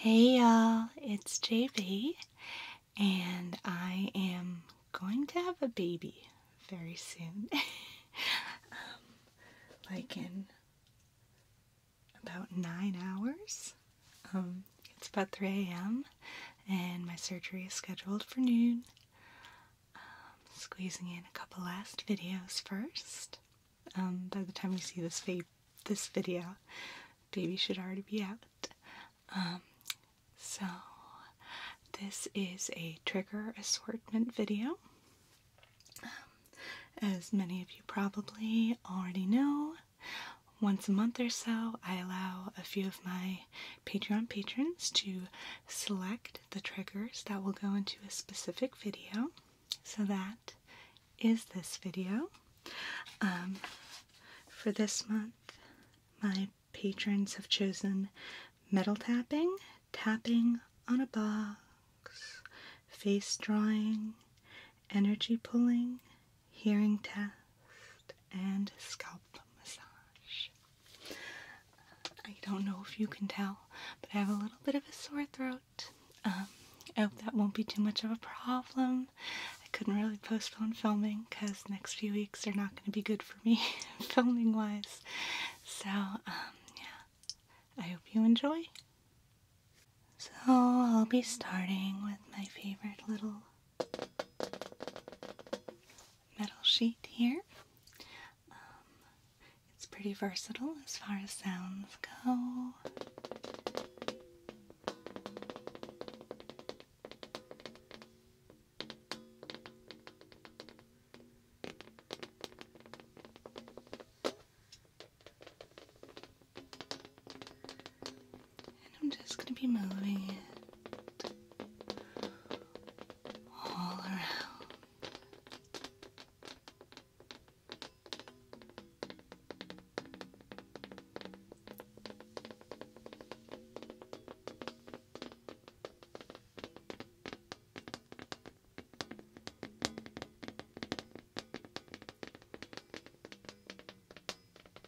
Hey y'all, it's JB, and I am going to have a baby very soon. Um, like in about nine hours. Um, it's about 3 a.m. and my surgery is scheduled for noon. Um, squeezing in a couple last videos first. Um, by the time you see this this video, baby should already be out. so this is a trigger assortment video. as many of you probably already know, once a month or so, I allow a few of my Patreon patrons to select the triggers that will go into a specific video. So that is this video. Um, for this month, my patrons have chosen metal tapping, tapping on a box, face drawing, energy pulling, hearing test, and scalp massage. I don't know if you can tell, but I have a little bit of a sore throat. Um, I hope that won't be too much of a problem. I couldn't really postpone filming because next few weeks are not going to be good for me filming wise. So, um, yeah, I hope you enjoy. So I'll be starting with my favorite little metal sheet here. Um, it's pretty versatile as far as sounds go. And I'm just going to be moving it all around.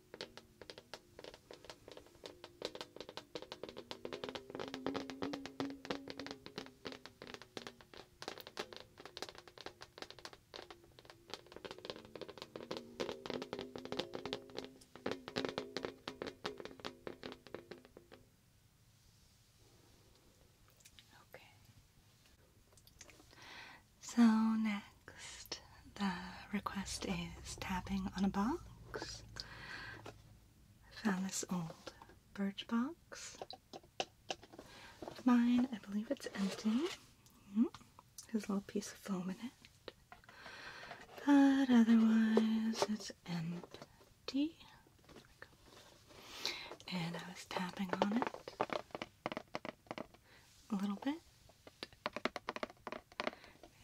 Okay. So next. Next, the request is tapping on a box. I found this old birch box mine. I believe it's empty. There's hmm? a little piece of foam in it. But otherwise, it's empty. And I was tapping on it a little bit it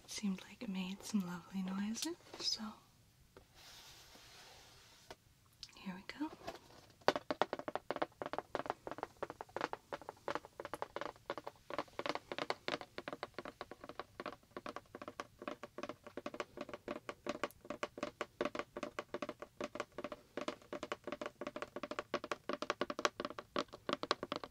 seemed like it made some lovely noises, so here we go.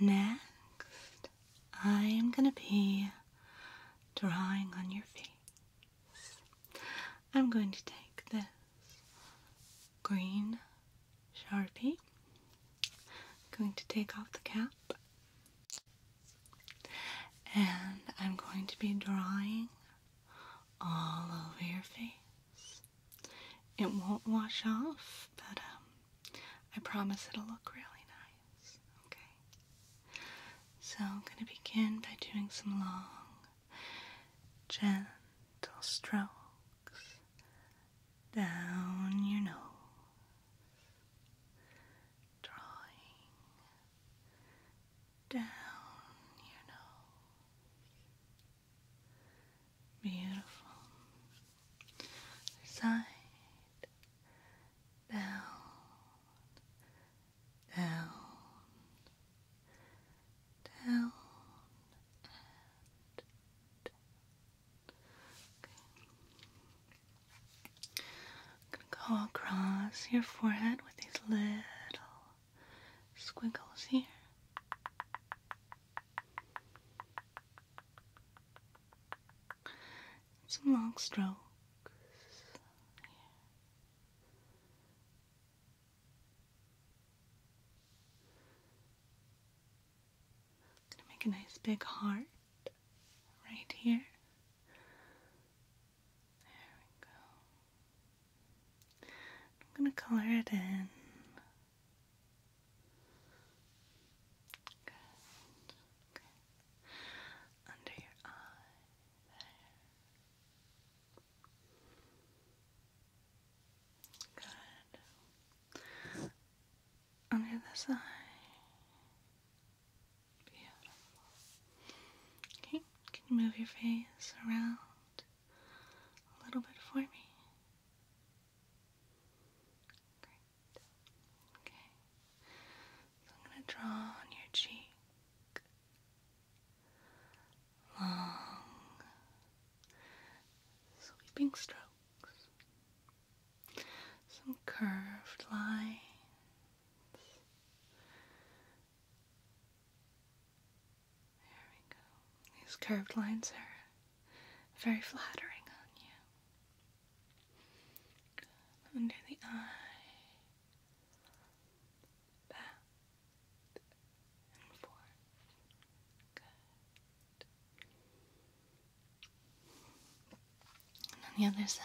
Next, I am going to be drawing on your face. I'm going to take this green sharpie. I'm going to take off the cap and I'm going to be drawing all over your face. It won't wash off, but um, I promise it'll look really nice. Okay? So I'm going to begin by doing some long, gentle strokes down your nose, drawing down your nose. Beautiful. Side down, down, I'm gonna go across your forehead with these little squiggles here. Some long strokes. I'm gonna make a nice big heart right here. There we go. I'm gonna color it in. Good. Okay. Under your eye. Good. On the other side. Beautiful. Okay, can you move your face around a little bit for me? Great. Okay. So I'm going to draw on your cheek long, sweeping strokes, some curved lines. There we go. These curved lines are very flattering on you. Under the eye, back, and four. Good. And on the other side,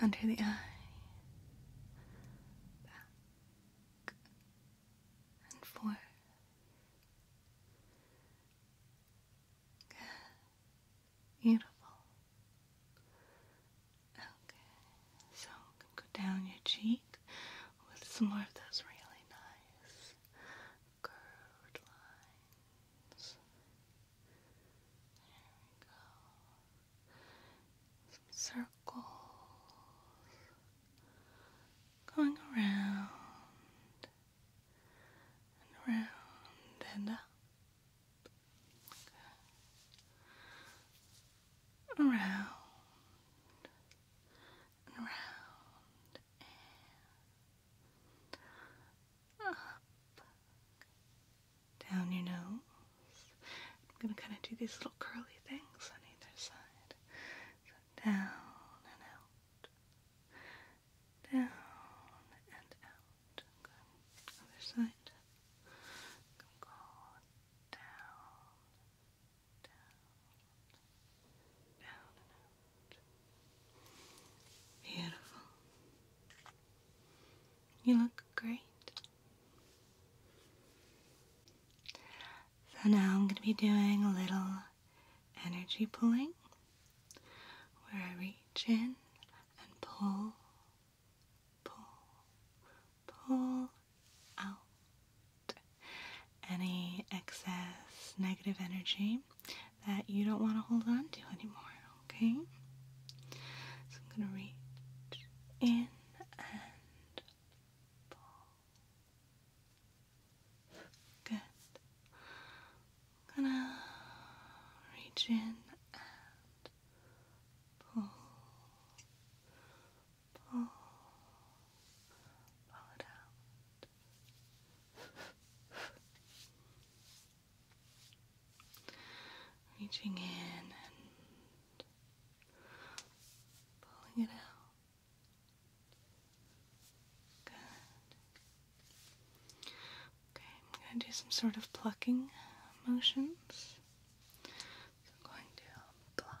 under the eye, back and forth. Good. Beautiful. Okay, so go down your cheek with some more of those really nice curved lines. There we go. Some circles going around and around and up. Around round and up, down your nose. I'm gonna kind of do these little curly things on either side. down and out, down and out. Good. Other side. down Beautiful. You look great. So now I'm going to be doing a little energy pulling where I reach in and pull, pull, pull out any excess negative energy that you don't want to hold on to anymore, okay? So I'm going to reach in and pull. Good. going to reach in and pull. Pull, it out. Reaching in and pulling it out. Good. Okay, I'm going to do some sort of plucking motions. I'm going to pluck,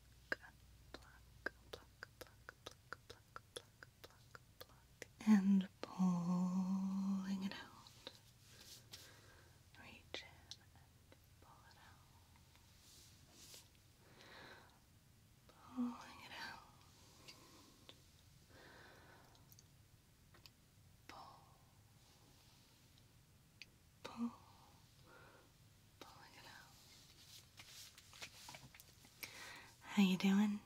and pulling it out. Reach in and pull it out. Pulling it out. Pull pull, pulling it out. How you doing?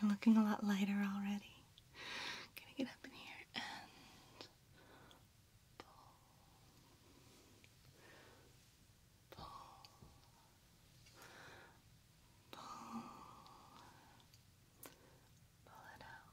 You're looking a lot lighter already. I'm get up in here and pull, pull, pull, pull it out.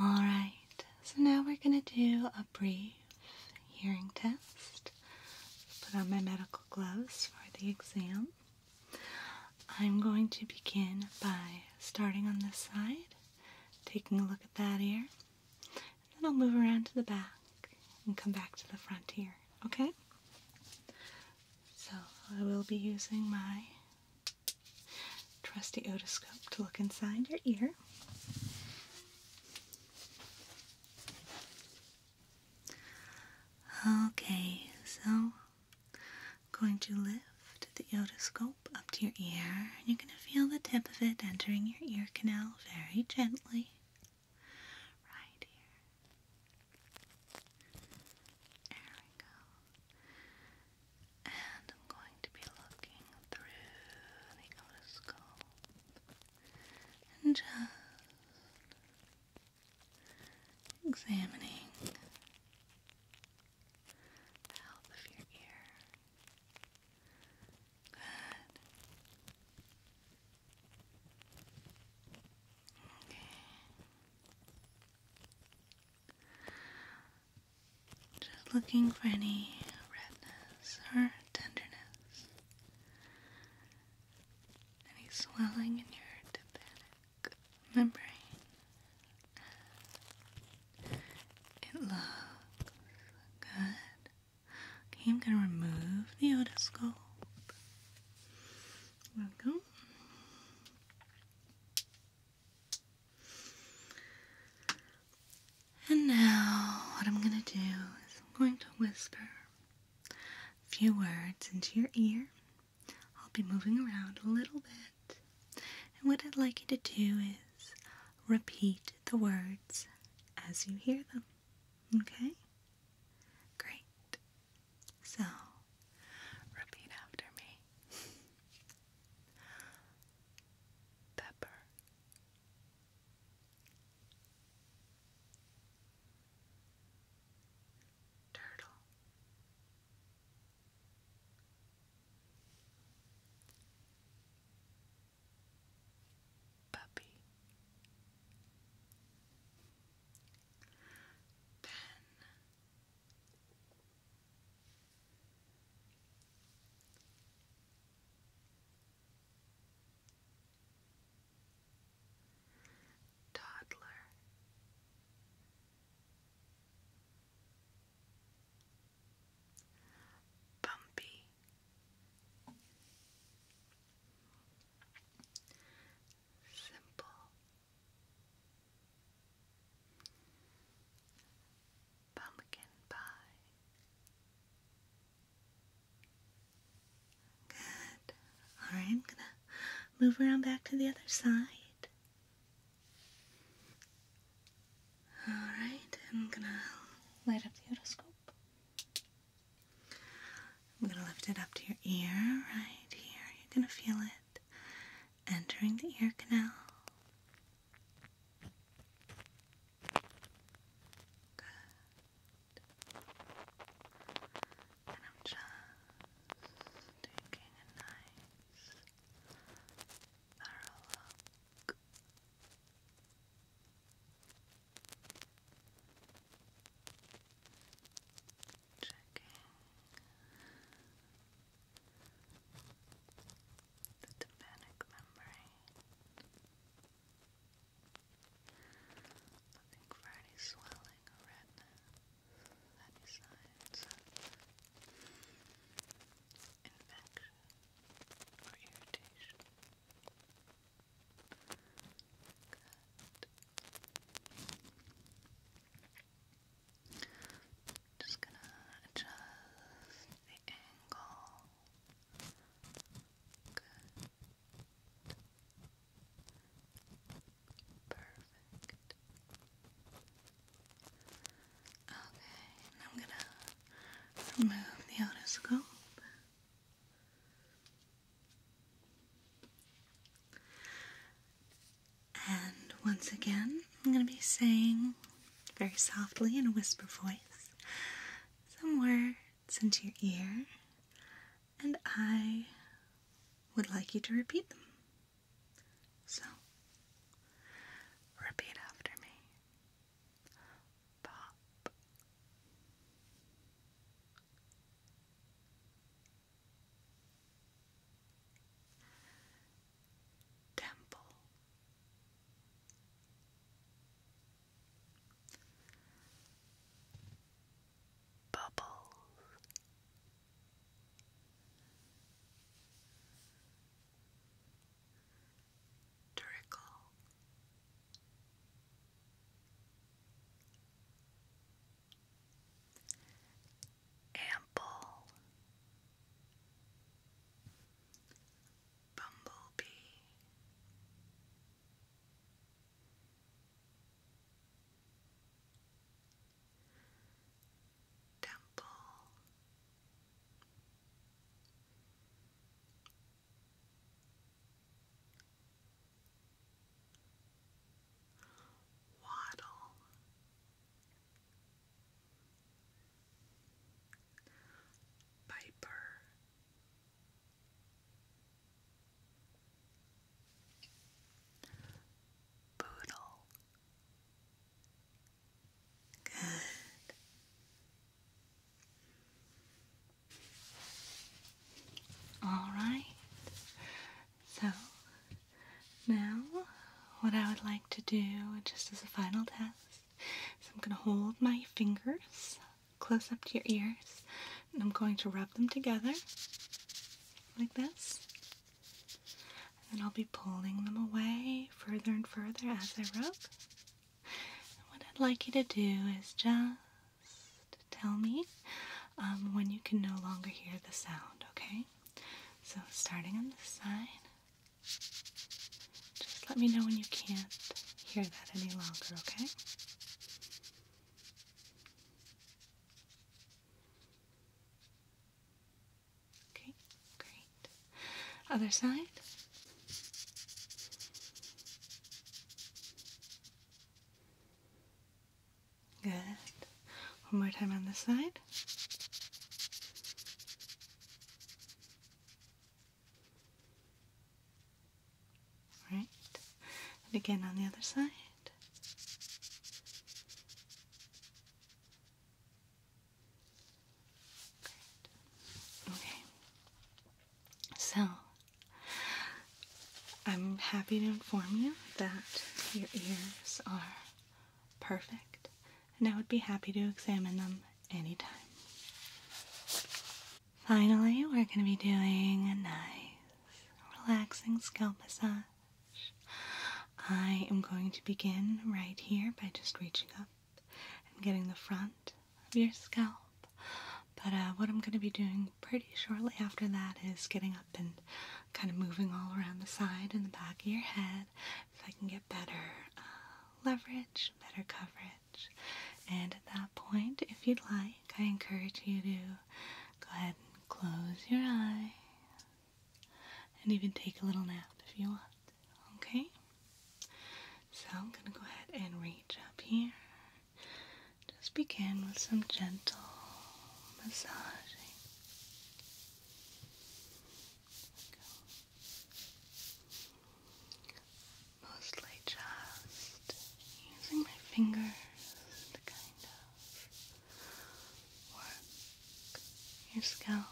Alright, so now we're going to do a brief hearing test. Put on my medical gloves for the exam. I'm going to begin by starting on this side, taking a look at that ear, then I'll move around to the back and come back to the front here, okay? So I will be using my Trusty otoscope to look inside your ear. Okay, so I'm going to lift the otoscope up to your ear. and You're going to feel the tip of it entering your ear canal very gently. Right here. There we go. And I'm going to be looking through the otoscope and just examining the health of your ear. Good. Okay. Just looking for any redness or tenderness, any swelling in your tympanic membrane. It looks good. Okay, I'm gonna remove the otoscope. Welcome. And now, what I'm going to do is I'm going to whisper a few words into your ear. I'll be moving around a little bit. And what I'd like you to do is repeat the words as you hear them. Okay? Great. So, repeat after me. Pepper. Turtle. Puppy. Pen. Toddler. Bumpy Simple Pumpkin pie. Good. Alright, I'm gonna move around back to the other side. Alright, I'm gonna light up the otoscope. I'm gonna lift it up to your ear right here. You're gonna feel it entering the ear canal. Good. And I'm just taking a nice thorough look. Checking the tympanic membrane, looking for any swelling or redness, any signs of infection or irritation. Good. Just gonna adjust the angle. Perfect. Okay, I'm gonna remove the otoscope. And once again, I'm going to be saying very softly in a whisper voice some words into your ear, and I would like you to repeat them. So, repeat after me. Pop temple bubbles trickle ample, bumblebee, temple. Waddle, Piper, Poodle. Good. All right. So now, what I would like to do, just as a final test, is I'm going to hold my fingers close up to your ears and I'm going to rub them together like this. And I'll be pulling them away further and further as I rub. what I'd like you to do is just tell me um, when you can no longer hear the sound, okay? So, starting on this side, just let me know when you can't hear that any longer, okay? Okay, great. Other side. Good. One more time on this side. Right. And again on the other side. Okay. So I'm happy to inform you that your ears are perfect, and I would be happy to examine them anytime. Finally, we're going to be doing a nice, relaxing scalp massage. I am going to begin right here by just reaching up and getting the front of your scalp. But uh, what I'm going to be doing pretty shortly after that is getting up and kind of moving all around the side and the back of your head if I can get better uh, leverage, better coverage. And at that point, if you'd like, I encourage you to go ahead and close your eye and even take a little nap if you want. Okay? So I'm going to go ahead and reach up here just begin with some gentle massaging. Mostly just using my fingers to kind of work your scalp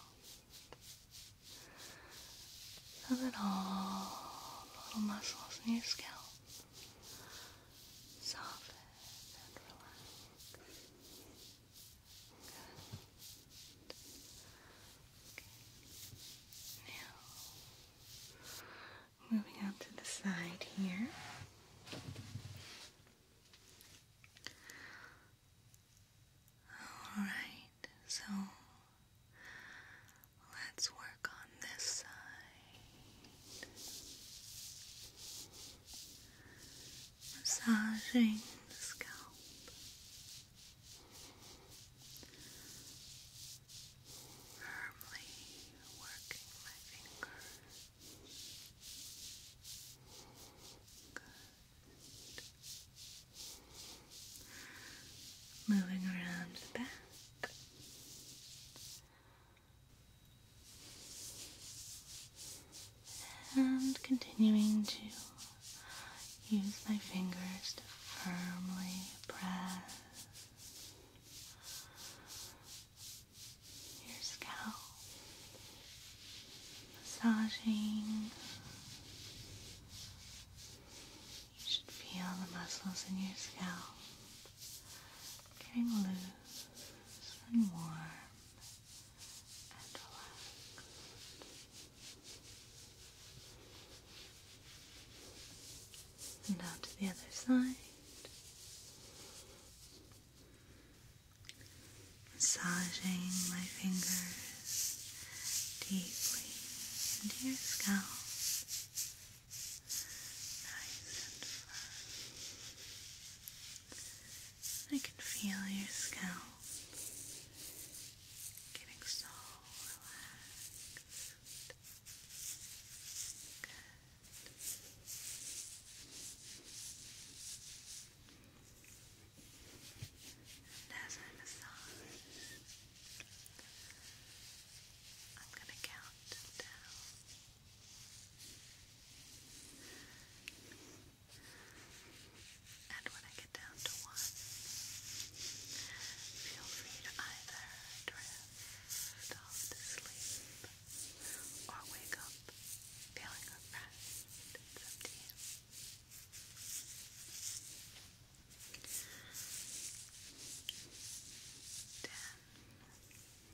so that little muscles in your scalp Soft. and relax. Good. Now, moving out to the side here. All right, so let's work on this side. Massaging the scalp. Firmly working my finger. Moving around the back. And continuing to use my fingers to firmly press your scalp, massaging. You should feel the muscles in your scalp getting loose and warm and relaxed. And out to the other side. Massaging my fingers deeply into your scalp nice and firm. I can feel your scalp getting so relaxed. Good. And as I massage, I'm going to count down and when I get down to one, feel free to either drift off to sleep or wake up feeling refreshed. you. Ten